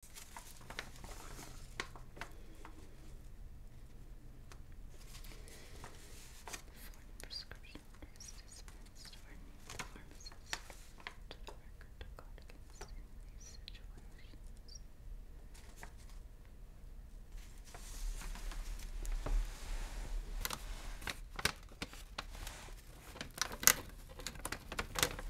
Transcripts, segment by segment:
Before the prescription is dispensed or need the pharmacist to the record to guard against in these situations. All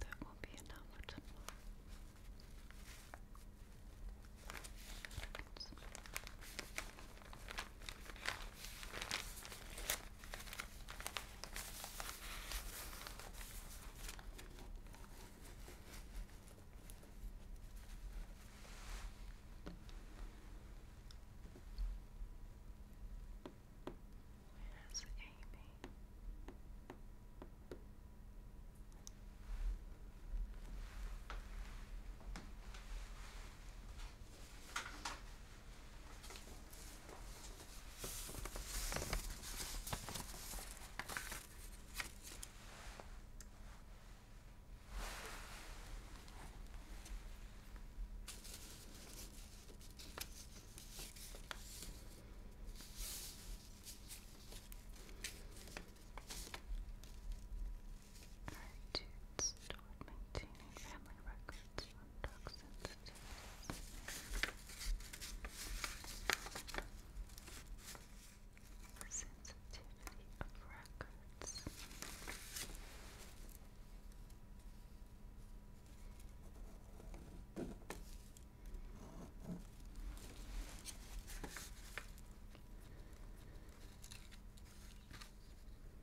That will be enough Where's Amy? Attitudes toward maintaining family records benefits from drug sensitivities. Sensitivity of records. Sensitivity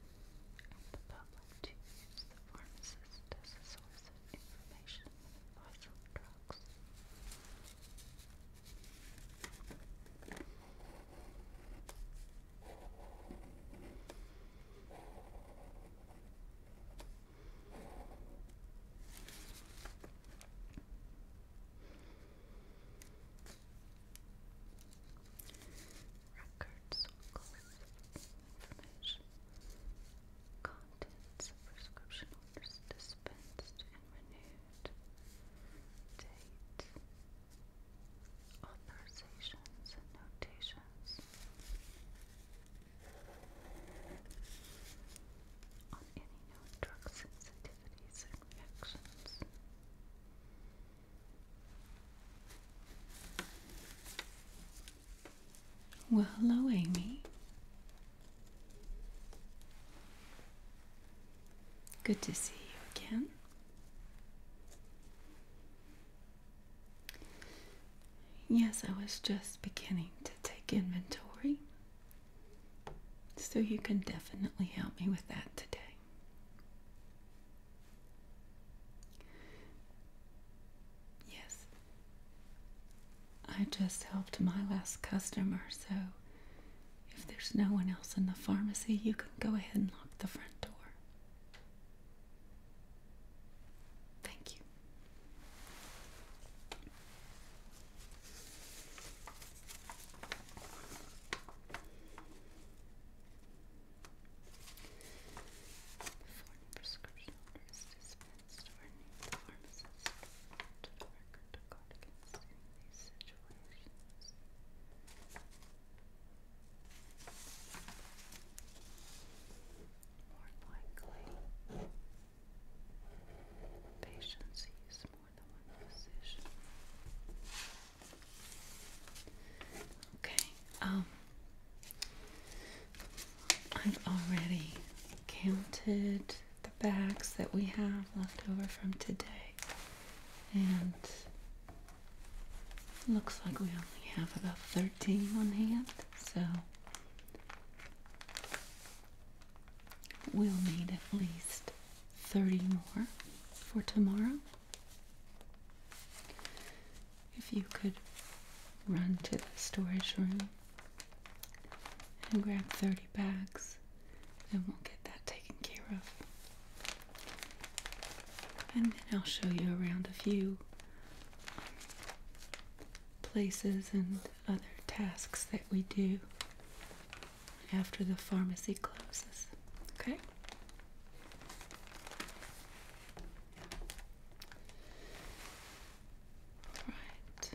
and the public to use the pharmacist as a source of information and advice drugs records, course information, contents, prescription orders dispensed and renewed, date, authorizations and notations. On any known drug sensitivities and reactions. Well, hello, Amy. Good to see you again. Yes, I was just beginning to take inventory. So you can definitely help me with that today. Yes, I just helped my last customer, so if there's no one else in the pharmacy, you can go ahead and lock the front door. Thank you. Before prescription order is dispensed or any pharmacist to the record to guard against in these situations. More likely, patients use more than one physician. Okay, um, I've already counted the bags that we have left over from today, and looks like we only have about 13 on hand, so we'll need at least 30 more for tomorrow if you could run to the storage room and grab 30 bags, and we'll get that taken care of. And then I'll show you around a few um, places and other tasks that we do after the pharmacy closes. Okay? Right.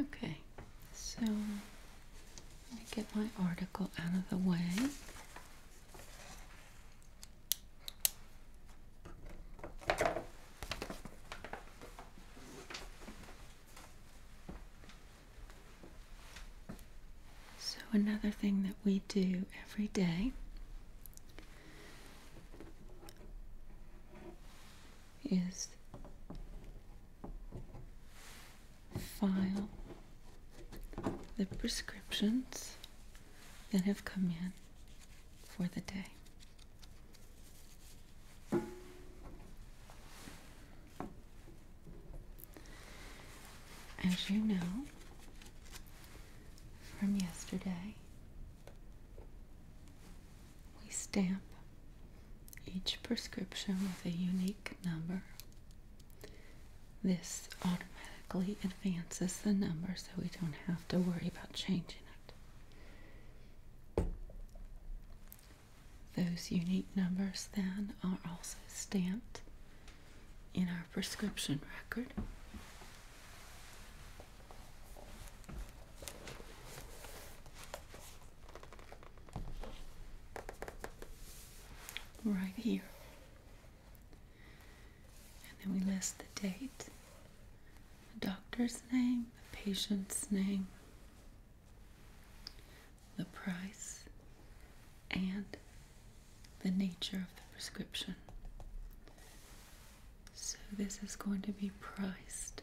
Okay, so let me get my article out of the way. So, another thing that we do every day is file the prescriptions that have come in for the day. As you know from yesterday, we stamp each prescription with a unique number this automatically advances the number so we don't have to worry about changing it. Those unique numbers then are also stamped in our prescription record. Right here. And then we list the date, the doctor's name, the patient's name, the price, and the nature of the prescription. So this is going to be priced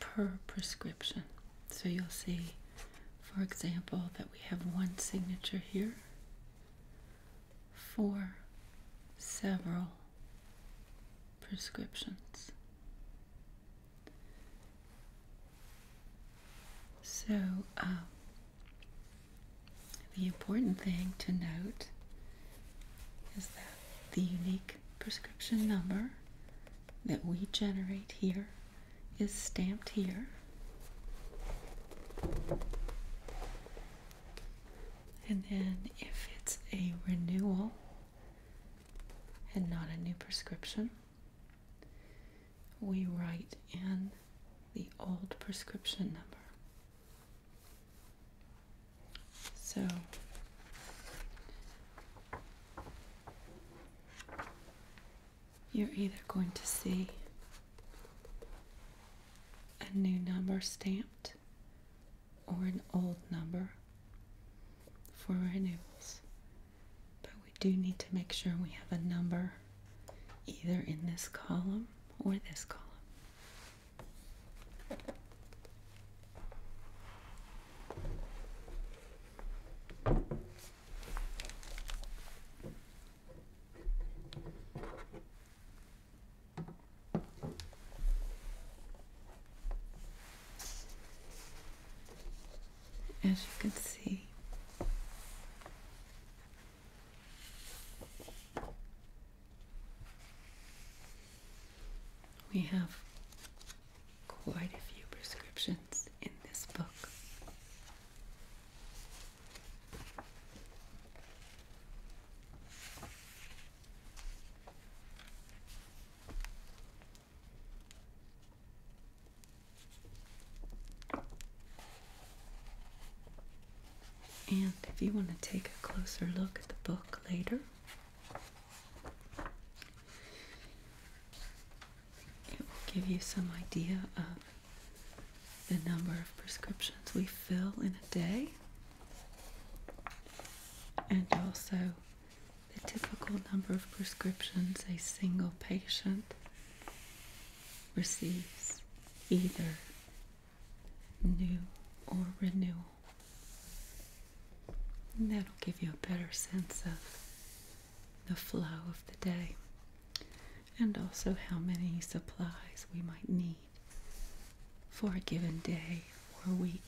per prescription. So you'll see, for example, that we have one signature here, for several prescriptions. So, um, the important thing to note is that the unique prescription number that we generate here is stamped here and then if it's a renewal and not a new prescription, we write in the old prescription number. So you're either going to see a new number stamped or an old number for renewals. But we do need to make sure we have a number either in this column or this column. As you can see, we have quite a few prescriptions in this book. And if you want to take a closer look at the book later, it will give you some idea of the number of prescriptions we fill in a day and also the typical number of prescriptions a single patient receives either new or renewal. And that'll give you a better sense of the flow of the day and also how many supplies we might need for a given day or week.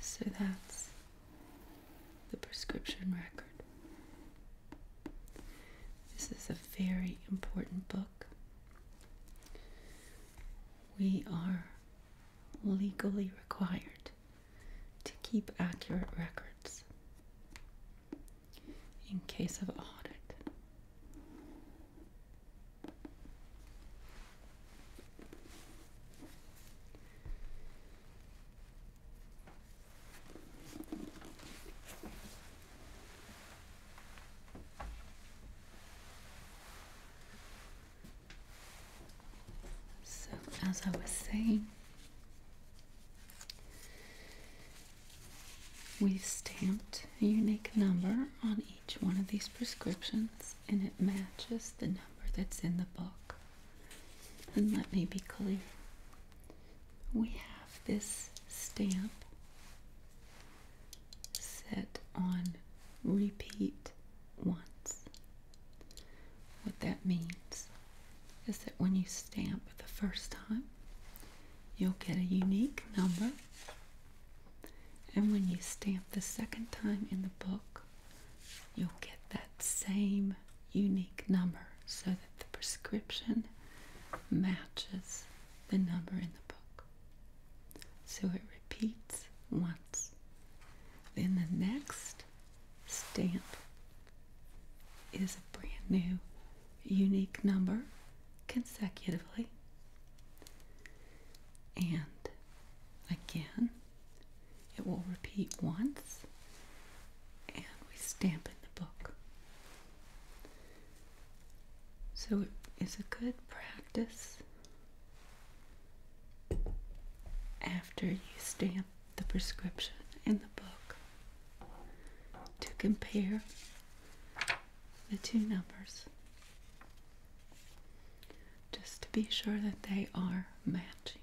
So that's the prescription record this is a very important book. We are legally required to keep accurate records in case of audit. So, as I was saying, we stamped a unique number on each one of these prescriptions, and it matches the number that's in the book. And let me be clear we have this stamp set on repeat once. What that means is that when you stamp the first time, you'll get a unique number. And when you stamp the second time in the book, you'll get that same unique number. So the prescription matches the number in the book. So it repeats once. Then the next stamp is a brand new unique number consecutively. And again, it will repeat once and we stamp in the book. So it's a good practice after you stamp the prescription in the book to compare the two numbers just to be sure that they are matching.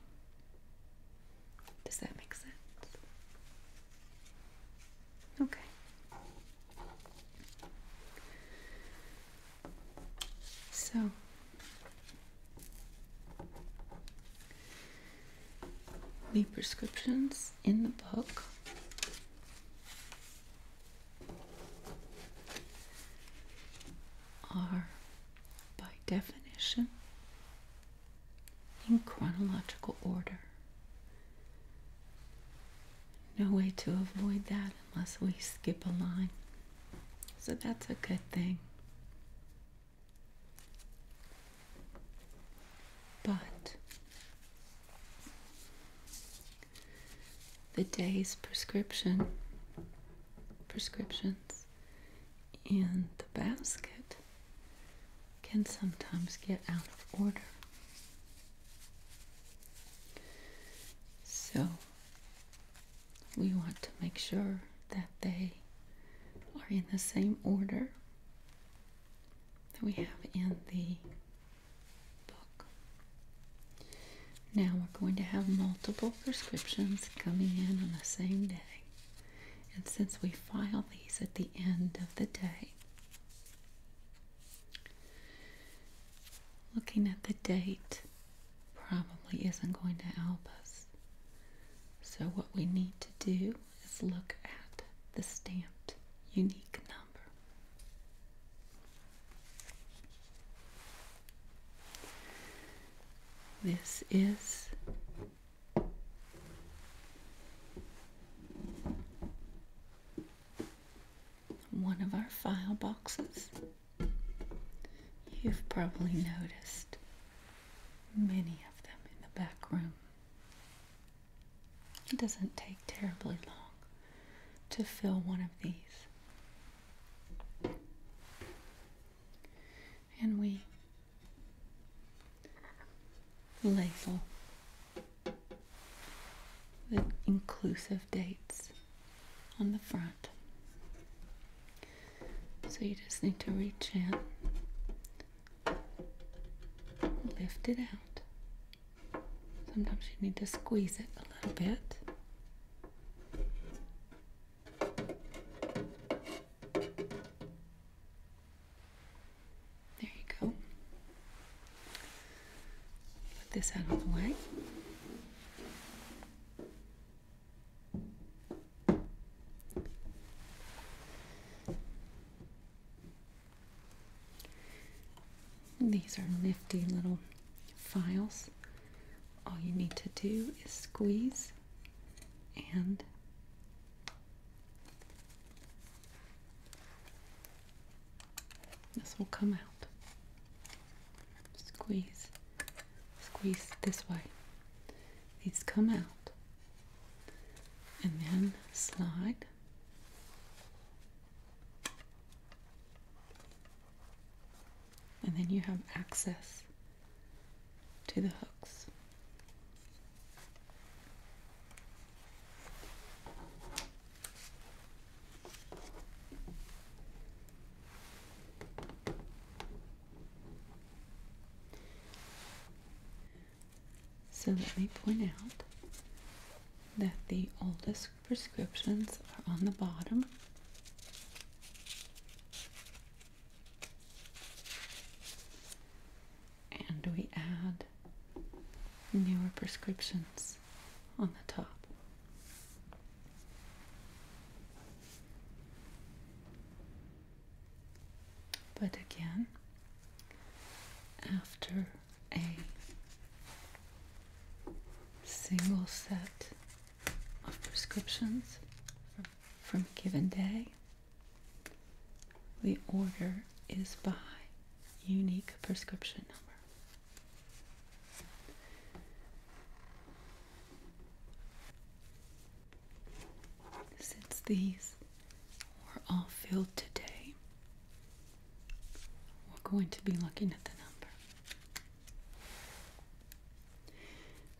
Does that make sense? Okay. So the prescriptions in the book are by definition in chronological order. No way to avoid that unless we skip a line. So that's a good thing. But the day's prescription prescriptions in the basket can sometimes get out of order. So, we want to make sure that they are in the same order that we have in the book. Now, we're going to have multiple prescriptions coming in on the same day. And since we file these at the end of the day, Looking at the date probably isn't going to help us. So what we need to do is look at the stamped unique number. This is one of our file boxes. You've probably noticed many of them in the back room. It doesn't take terribly long to fill one of these. And we label the inclusive dates on the front. So you just need to reach in, lift it out. Sometimes you need to squeeze it a little bit. There you go. Put this out of the way. These are nifty little files. All you need to do is squeeze and this will come out. Squeeze, squeeze this way. These come out, and then slide. And then you have access to the hooks. So let me point out that the oldest prescriptions are on the bottom and we add newer prescriptions on the top. But again, after a single set of prescriptions from, a given day, the order is by unique prescription number. Since these were all filled today, we're going to be looking at the number.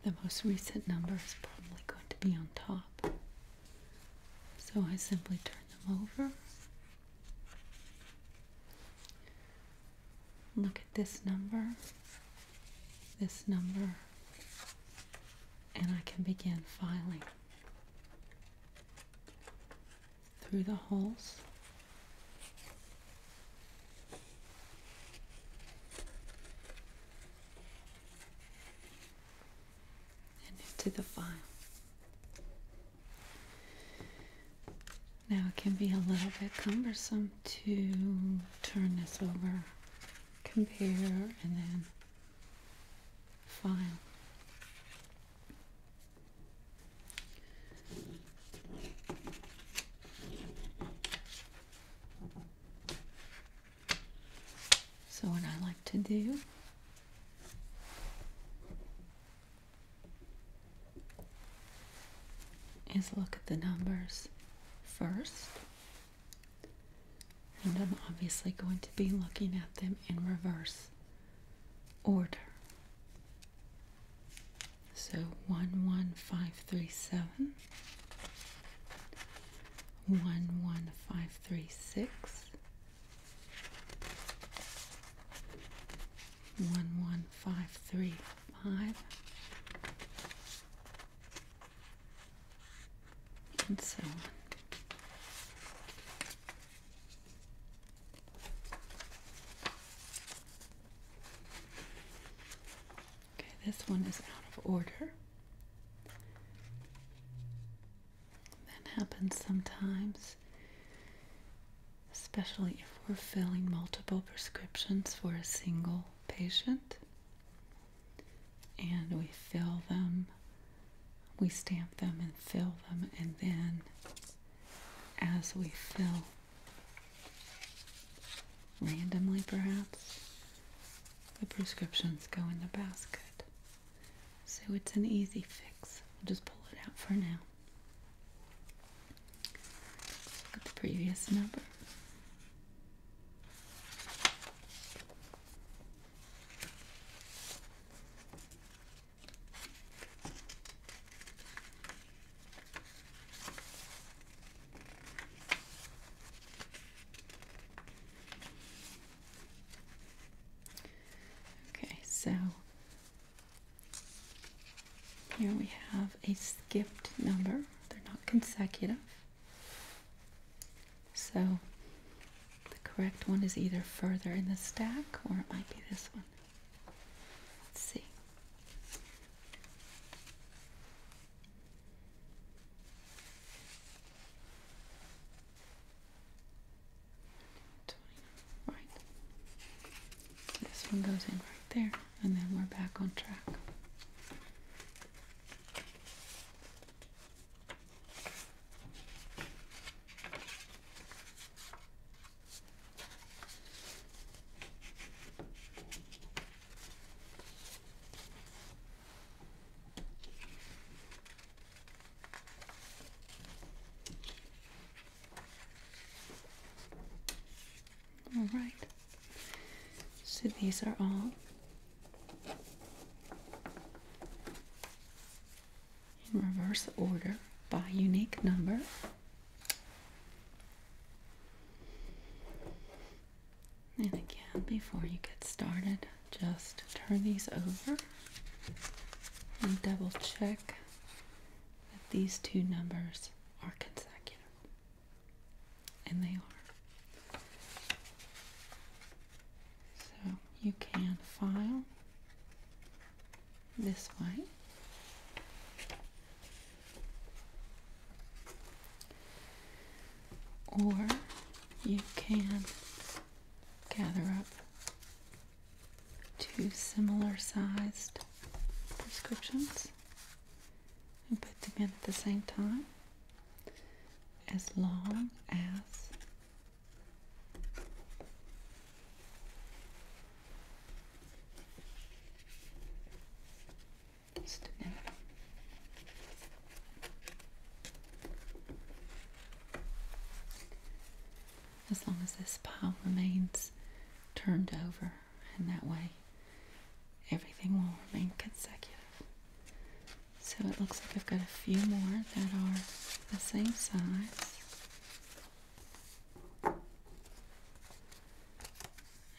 The most recent number is probably going to be on top. So I simply turn them over. Look at this number, this number, and I can begin filing through the holes and into the file. Now it can be a little bit cumbersome to turn this over, compare, and then file. So what I like to do is look at the numbers first. And I'm obviously going to be looking at them in reverse order. So 11537, 11536, one one five three five. And so on. Okay, this one is out of order. That happens sometimes, especially if we're filling multiple prescriptions for a single patient and we fill them, we stamp them and fill them, and then as we fill randomly, perhaps the prescriptions go in the basket. So it's an easy fix. We'll just pull it out for now. look at the previous number. Okay, so here we have a skipped number. They're not consecutive. So the correct one is either further in the stack or it might be this one. Let's see. Right. This one goes in right there, and then we're back on track. All right. So these are all in reverse order by unique number. And again, before you get started, just turn these over and double check that these two numbers are consecutive. And they are. So you can file this one, Or you can gather up two similar sized prescriptions and put them in at the same time as long as just a minute as long as this pile remains turned over and that way everything will remain consecutive. So it looks like I've got a few more that are the same size.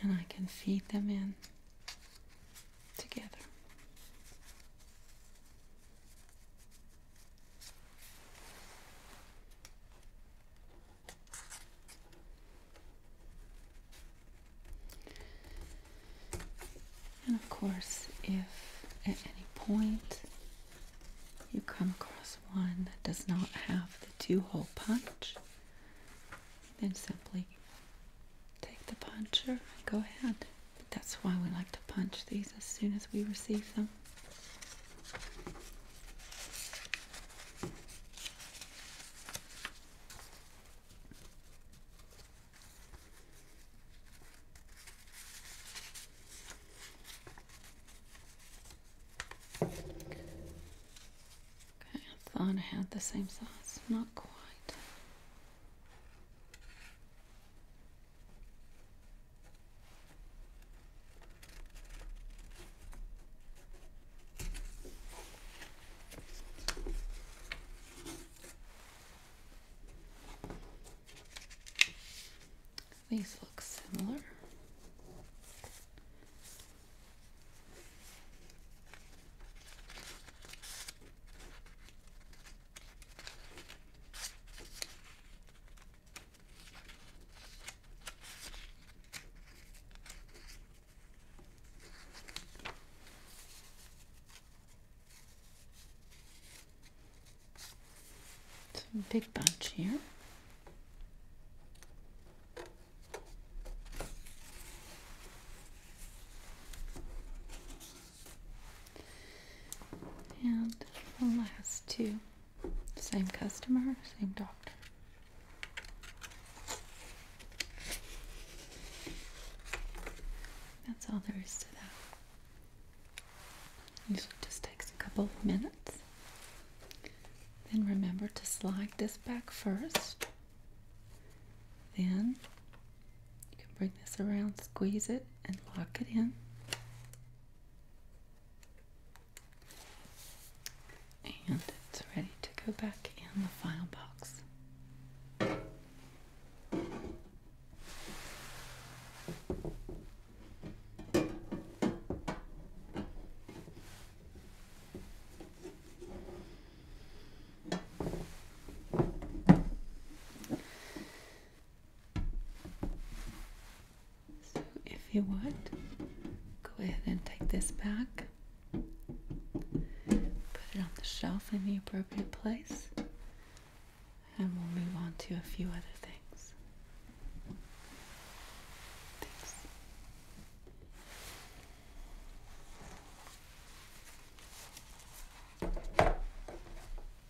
And I can feed them in together. And of course, if at any point you come across one that does not have the two hole punch, then simply take the puncher and go ahead. But that's why we like to punch these as soon as we receive them. Okay, I thought I had the same size, not quite. These look similar a big bunch here. And the last two. Same customer, same doctor. That's all there is to that. Usually just takes a couple minutes. Then remember to slide this back first. Then you can bring this around, squeeze it, and lock it in and it's ready to go back in the file box. So if you want, go ahead and take this back, put it on the shelf in the appropriate place, and we'll move on to a few other things.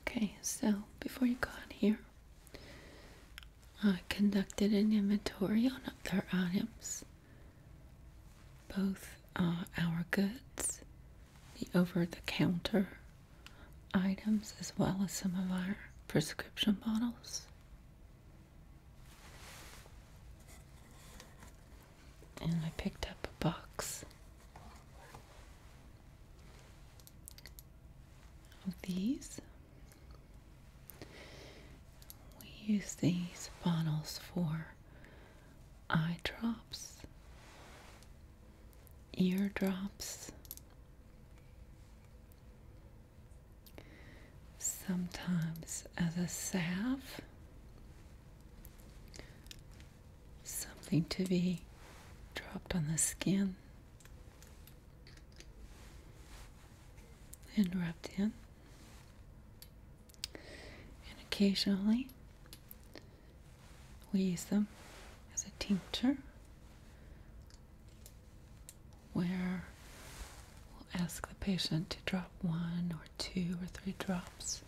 Okay, so before you got here, I conducted an inventory on other items, both uh, our goods, the over the counter items, as well as some of our prescription bottles and I picked up a box of these. We use these bottles for eye drops, ear drops. Sometimes as a salve, something to be dropped on the skin and rubbed in. And occasionally we use them as a tincture where we'll ask the patient to drop one or two or three drops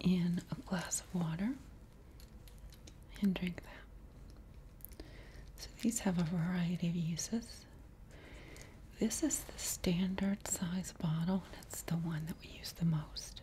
in a glass of water and drink that. So these have a variety of uses. This is the standard size bottle, and it's the one that we use the most.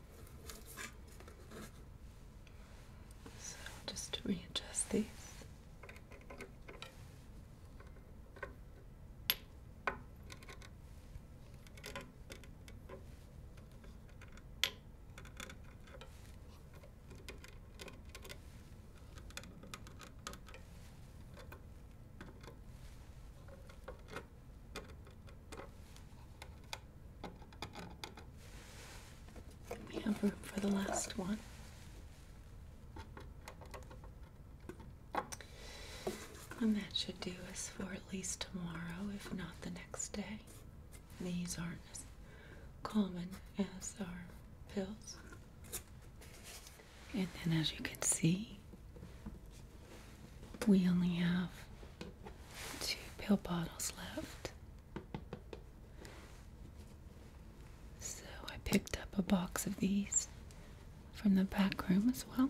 So just to readjust these. We have room for the last one. And that should do us for at least tomorrow, if not the next day. These aren't as common as our pills. And then, as you can see, we only have two pill bottles left so I picked up a box of these from the back room as well.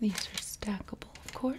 These are stackable, of course.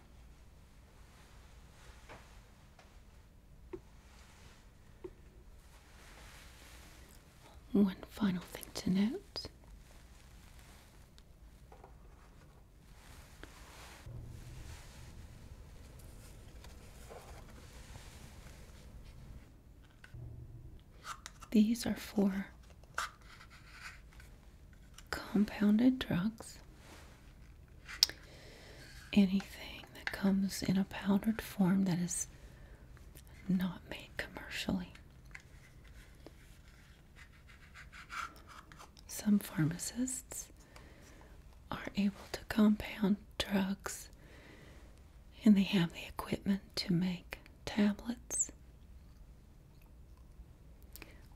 One final thing to note. These are for compounded drugs anything that comes in a powdered form that is not made commercially. Some pharmacists are able to compound drugs and they have the equipment to make tablets.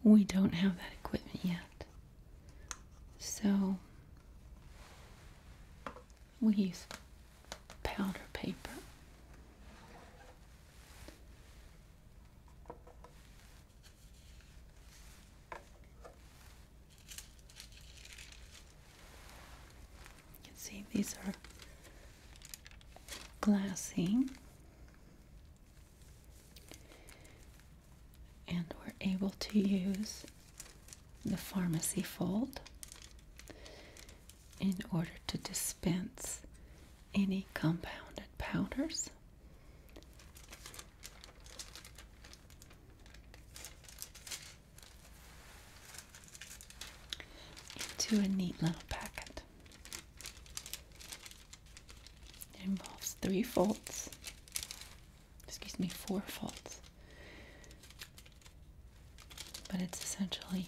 We don't have that equipment yet. So we use powder paper. You can see these are glassy. And we're able to use the pharmacy fold in order to dispense any compounded powders. into a neat little packet. It involves three folds excuse me, four faults. But it's essentially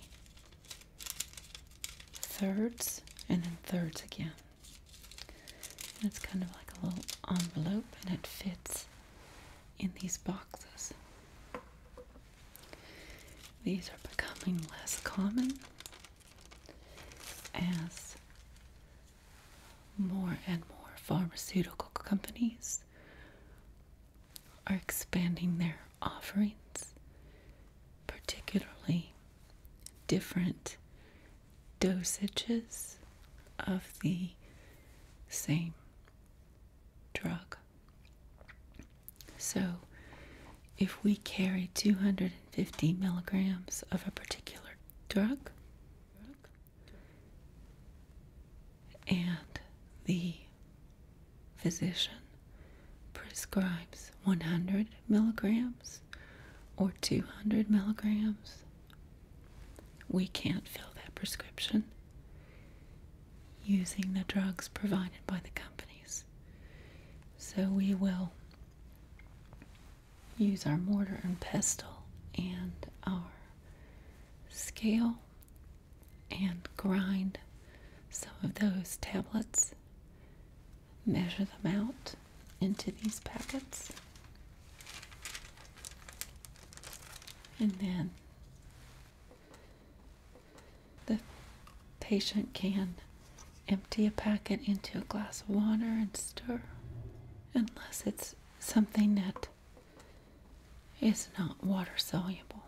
thirds and then thirds again. it's kind of like a little envelope and it fits in these boxes. These are becoming less common as more and more pharmaceutical companies are expanding their offerings, particularly different dosages of the same drug. So, if we carry 250 milligrams of a particular drug, and the physician prescribes 100 milligrams or 200 milligrams, we can't fill that prescription using the drugs provided by the companies. So we will use our mortar and pestle and our scale and grind some of those tablets, measure them out into these packets, and then the patient can empty a packet into a glass of water and stir unless it's something that is not water soluble.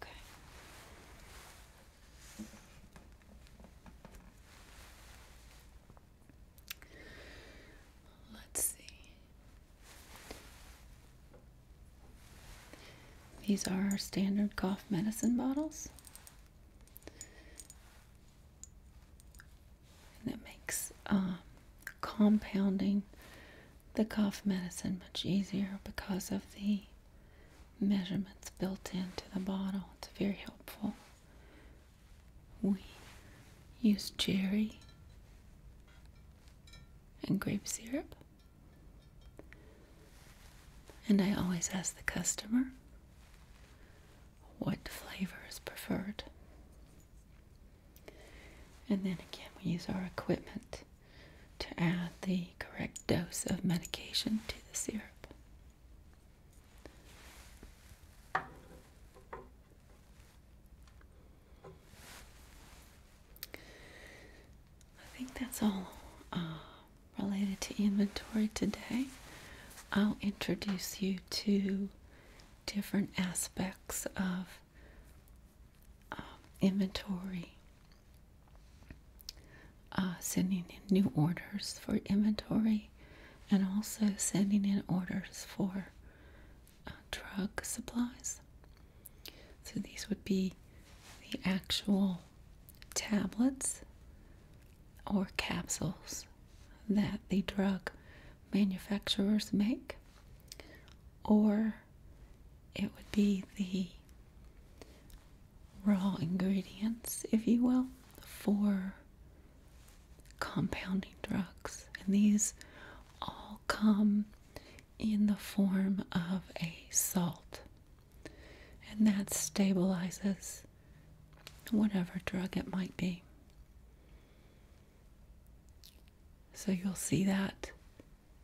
Okay. Let's see. These are our standard cough medicine bottles and it makes um, compounding the cough medicine much easier because of the measurements built into the bottle. It's very helpful. We use cherry and grape syrup and I always ask the customer what flavor is preferred. And then again, we use our equipment to add the correct dose of medication to the syrup. I think that's all uh, related to inventory today. I'll introduce you to different aspects of um, inventory, uh, sending in new orders for inventory, and also sending in orders for uh, drug supplies. So these would be the actual tablets or capsules that the drug manufacturers make, or it would be the raw ingredients, if you will, for compounding drugs. And these all come in the form of a salt and that stabilizes whatever drug it might be. So you'll see that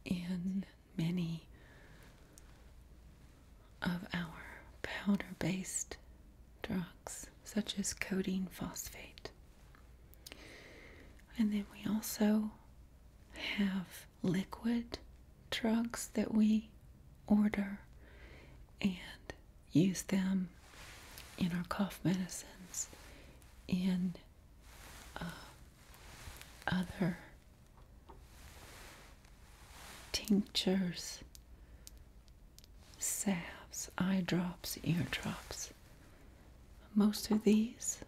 in many of our powder based drugs, such as codeine phosphate. And then we also have liquid drugs that we order and use them in our cough medicines, in uh, other tinctures, salves, eye drops, ear drops. Most of these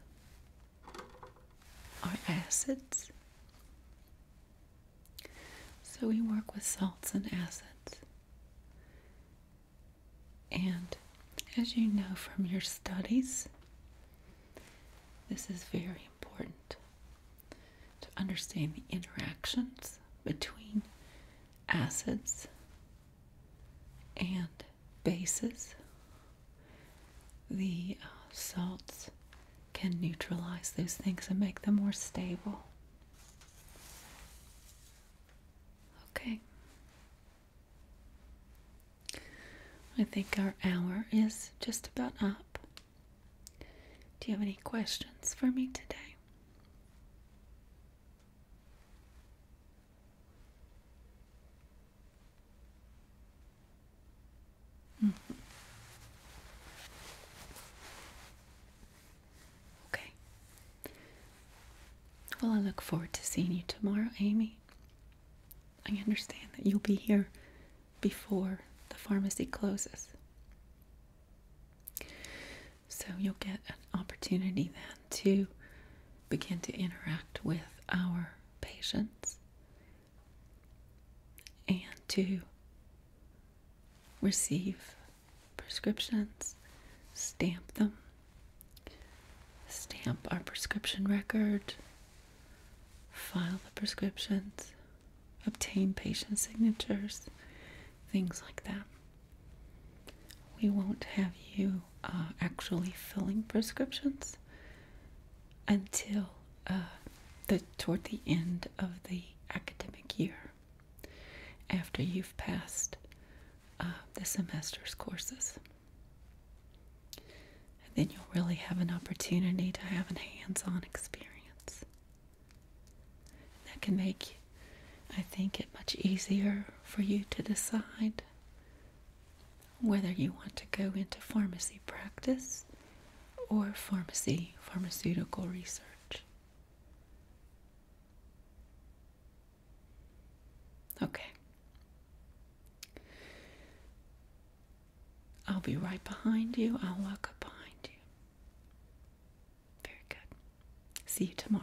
are acids so we work with salts and acids. And as you know from your studies, this is very important to understand the interactions between acids and bases, the uh, salts can neutralize those things and make them more stable. Okay. I think our hour is just about up. Do you have any questions for me today? Hmm. Okay. Well, I look forward to seeing you tomorrow, Amy. I understand that you'll be here before the pharmacy closes. So you'll get an opportunity then to begin to interact with our patients and to receive prescriptions, stamp them, stamp our prescription record, file the prescriptions, obtain patient signatures, things like that. We won't have you uh, actually filling prescriptions until uh, the toward the end of the academic year after you've passed uh, the semester's courses. then you'll really have an opportunity to have a hands on experience. that can make, I think, it much easier for you to decide whether you want to go into pharmacy practice or pharmacy, pharmaceutical research. Okay. I'll be right behind you. I'll walk behind you. Very good. See you tomorrow.